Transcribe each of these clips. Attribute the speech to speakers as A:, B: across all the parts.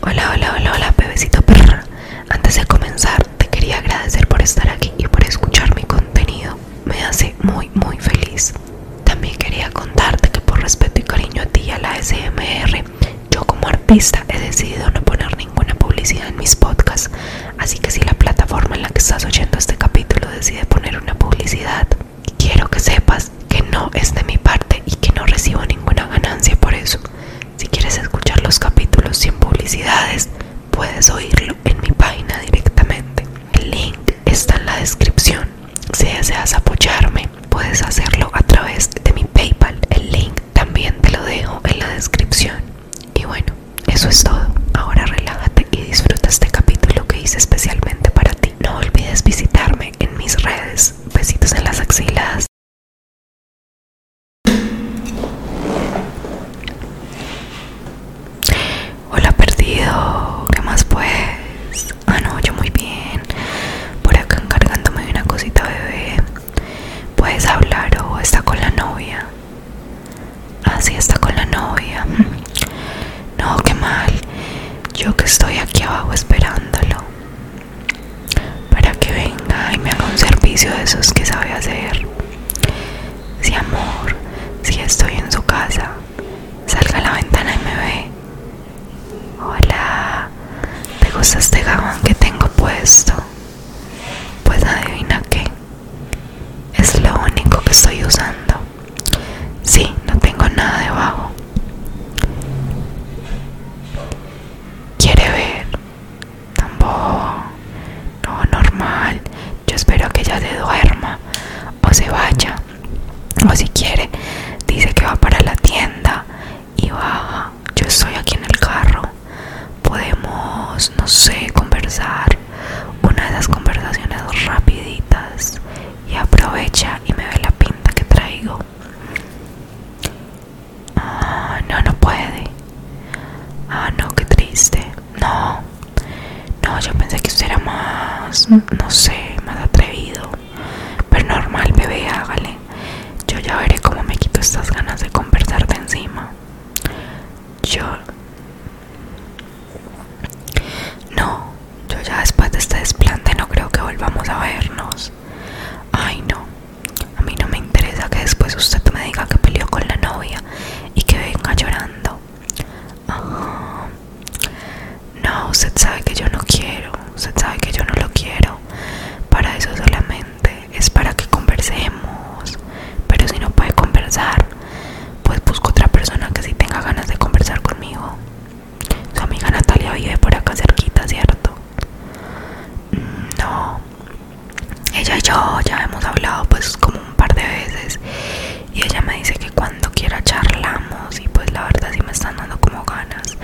A: Hola, hola, hola, hola, bebecito perra. Antes de comenzar, te quería agradecer por estar aquí y por escuchar mi contenido. Me hace muy, muy feliz. También quería contarte que por respeto y cariño a ti y a la SMR, yo como artista he decidido no poner ninguna publicidad en mis podcasts. Así que si la plataforma en la que estás oyendo este capítulo decide poner una publicidad, quiero que sepas que no es de mi parte y que no recibo ninguna ganancia por eso. Si quieres escuchar los capítulos sin publicidades, puedes oírlo en mi página directamente. El link está en la descripción. Si deseas apoyarme, puedes hacerlo a través de mi PayPal. El link también te lo dejo en la descripción. Y bueno, eso es todo. Ahora relájate y disfruta este capítulo que hice especialmente para ti. No olvides visitarme en mis redes. Besitos en las axiladas Hola perdido, ¿qué más pues? Ah no, yo muy bien. Por acá encargándome de una cosita bebé. ¿Puedes hablar o está con la novia? Ah, sí, está con la novia. No, qué mal. Yo que estoy aquí abajo esperándolo para que venga y me haga un servicio de esos que sabe hacer. Si amor, si estoy en su casa, salga a la ventana y me ve. Hola, ¿te gusta este gabán que tengo puesto? Pues adivina qué. Es lo único que estoy usando. Sí, no tengo nada debajo quiere ver. Tampoco. No, normal. Yo espero que ella se duerma o se vaya. O si quiere, dice que va para la tienda y baja. Yo estoy aquí en el carro. Podemos, no sé, conversar. Una de esas conversaciones rapiditas. Y aprovecha y me ve la pinta que traigo. Ah, no, no puede. Ah, no, qué triste. No, no, yo pensé que usted era más, no sé, más atrevido. Pero normal, bebé, hágale. Yo ya veré cómo me quito estas ganas de conversarte encima. Yo... No, yo ya después de este desplante no creo que volvamos a vernos. Ay no, a mí no me interesa que después usted me diga que peleó con la novia y que venga llorando. No, usted sabe que yo no quiero, usted sabe que yo no lo quiero. Para eso solamente es para que conversemos. Pero si no puede conversar, pues busco otra persona que sí tenga ganas de conversar conmigo. Su amiga Natalia vive por acá cerquita, ¿cierto? Mm, no, ella y yo ya hemos hablado pues como un par de veces y ella me dice que cuando quiera charlamos y pues la verdad si me están dando como ganas.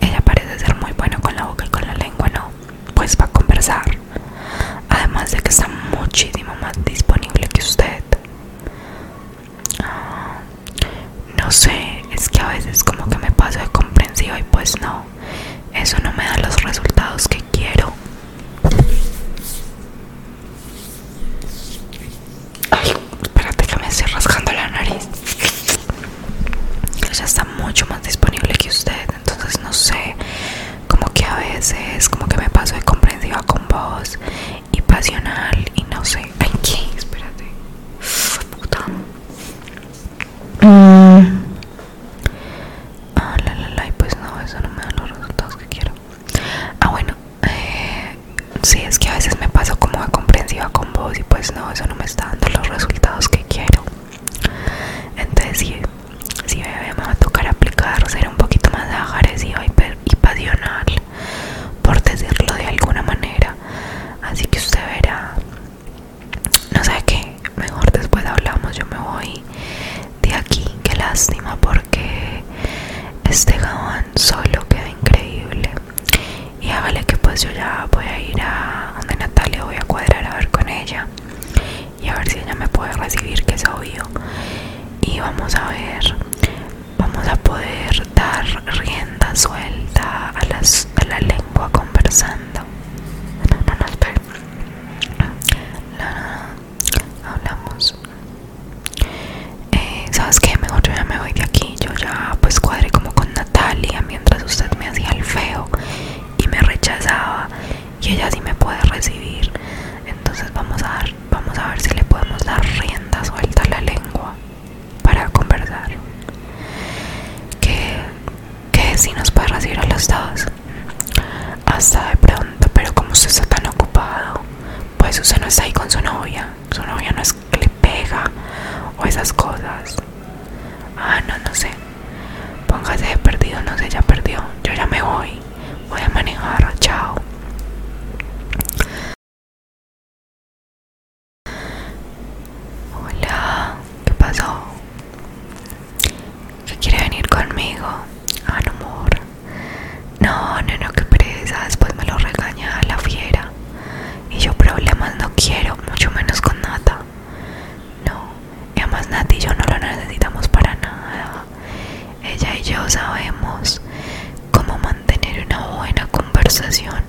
A: Ella parece ser muy buena con la boca y con la lengua, ¿no? Pues va a conversar. Además de que está muchísimo más disponible que usted. Ah, no sé, es que a veces como que me paso de comprensiva y pues no, eso no me da los resultados que quiero. Ay, espérate que me estoy rascando la nariz. Ella está mucho más disponible que usted, entonces no sé, como que a veces como que me paso de comprensiva con vos y pasional y no sé. Ay, ¿qué? Espérate. Puta. Mm. Ah, la, la, la, y pues no, eso no me da los resultados que quiero. Ah, bueno, si eh, sí, es que a veces me paso como de comprensiva con vos y pues no, eso no me está dando los resultados que quiero. Entonces, si bebé, me va a tocar aplicar, ser un poquito más agresivo y, y pasional, por decirlo de alguna manera. Así que usted verá no sé qué, mejor después hablamos, yo me voy de aquí, qué lástima porque este jabón solo queda increíble. Y hágale que pues yo ya voy a ir a donde Natalia, voy a cuadrar a ver con ella y a ver si ella me puede recibir, que es obvio. Y vamos a ver, vamos a poder dar rienda suelta a, a la lengua conversando no, no, No, espera Hablamos. Eh, ¿Sabes qué? Mejor yo ya me voy de aquí. Yo ya pues cuadré como con Natalia mientras usted me hacía el feo y me rechazaba. Y ella sí me puede recibir. Entonces vamos a, vamos a ver si le podemos dar rienda suelta a la lengua para conversar. Que, que si nos puede recibir a los dos. Hasta de pronto, pero como usted está tan ocupado, pues usted no está ahí con su novia. Su novia no es que le pega o esas cosas. Ah, no, no sé. Póngase de perdido, no sé, ya perdió. Yo ya me voy. Voy a manejar, chao. Hola, ¿qué pasó? ¿Qué quiere venir conmigo? Ah, no, amor. No, no, no, qué pereza. Después me lo regaña la fiera. Y yo problemas no quiero, mucho menos con Nata. No, y además Nati y yo no lo necesitamos para nada. Ella y yo sabemos cómo mantener una buena conversación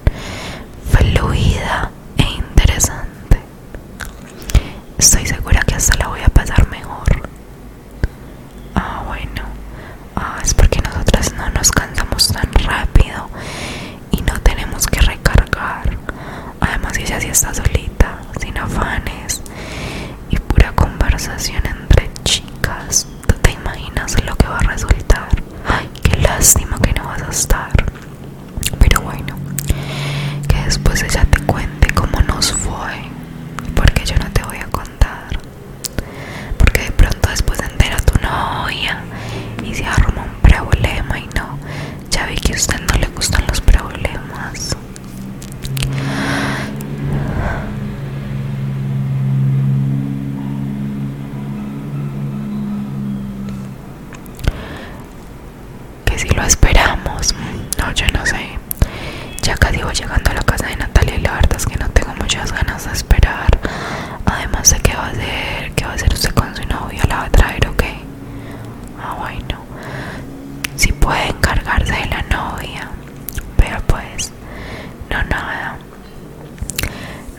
A: fluida e interesante. Estoy segura que hasta la voy a pasar mejor. Ah, bueno. Ah, es porque nosotras no nos cantamos tan rápido y no tenemos que recargar. Además, ella sí está solita, sin afanes y pura conversación entre chicas. ¿Tú te imaginas lo que va a resultar? Ay, qué lástima que no vas a estar. Pero bueno, que después ella te cuente cómo nos fue, porque yo no te voy a contar. Porque de pronto después entera tu novia y se arma un problema y no, ya vi que a usted no le gustan los problemas que si lo esperamos no yo no sé ya casi voy llegando a la casa de Natalia y la verdad es que no tengo muchas ganas de esperar además sé qué va a hacer qué va a hacer usted con su novia la va a traer ok, ah bueno si puede encargarse de la novia pero pues no nada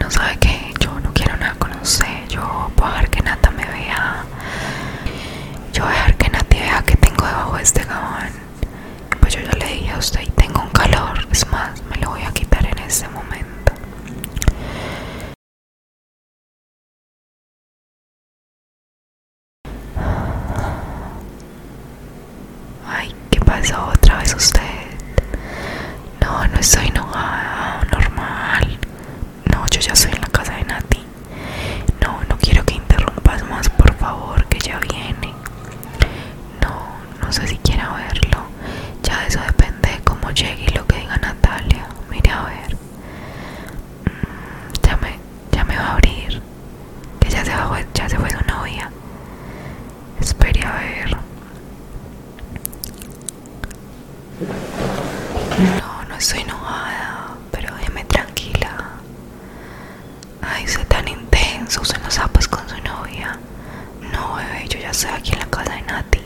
A: no sabe que yo no quiero nada con no sé, yo voy a dejar que Nata me vea. Yo voy a dejar que Nati vea que tengo debajo de este gabán. Pues yo ya le dije a usted, tengo un calor. Es más, me lo voy a quitar en este momento. Ay, ¿qué pasó otra vez usted? No, no estoy enojada, normal. No, yo ya estoy en la casa de Nati. No, no quiero que interrumpas más, por favor, que ya viene. No, no sé si quiera verlo. Ya eso depende de cómo llegue y lo que diga Natalia. Mire a ver. Mm, ya, me, ya me va a abrir. Que ya se, va, ya se fue su novia. Espere a ver. No, no estoy enojada, pero déjeme tranquila. Ay, usted tan intenso, usted los pues con su novia. No, bebé, yo ya estoy aquí en la casa de Nati.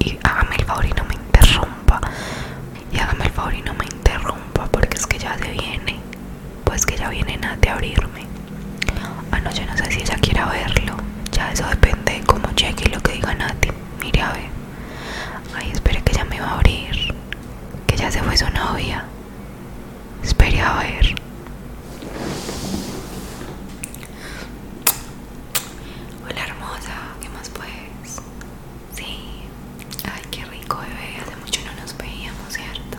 A: Y hágame el favor y no me interrumpa. Y hágame el favor y no me interrumpa, porque es que ya se viene. Pues que ya viene Nati a abrirme. Ah, no, no sé si ella quiera verlo. Ya eso depende de cómo cheque lo que diga Nati. Mire, a ver. Ay, espere que ya me va a abrir. Que ya se fue su novia. Espere a ver. Hola hermosa, ¿qué más pues? Sí. Ay, qué rico bebé. Hace mucho no nos veíamos, ¿cierto?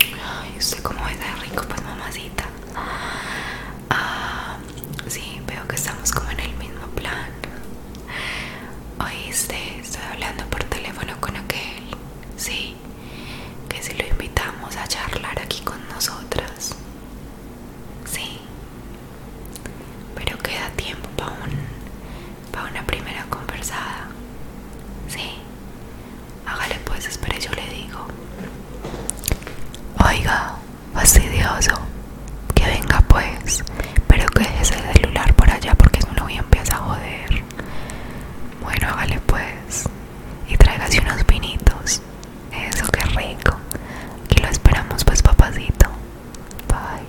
A: Ay, usted como es rico, pues mamacita. Ah, sí, veo que estamos como en el mismo plan. Oíste, estoy hablando por teléfono con aquel. Sí, que si lo invitamos a charlar aquí con nosotras. Sí, pero queda tiempo para un, una primera conversada. Sí. Hágale pues, espere, yo le digo. Oiga, fastidioso, que venga pues, pero que deje ese celular por allá porque es un voy a empezar a joder. Bueno, hágale pues, y tráigase unos vinitos. Eso, qué rico. Aquí lo esperamos pues, papacito. Bye.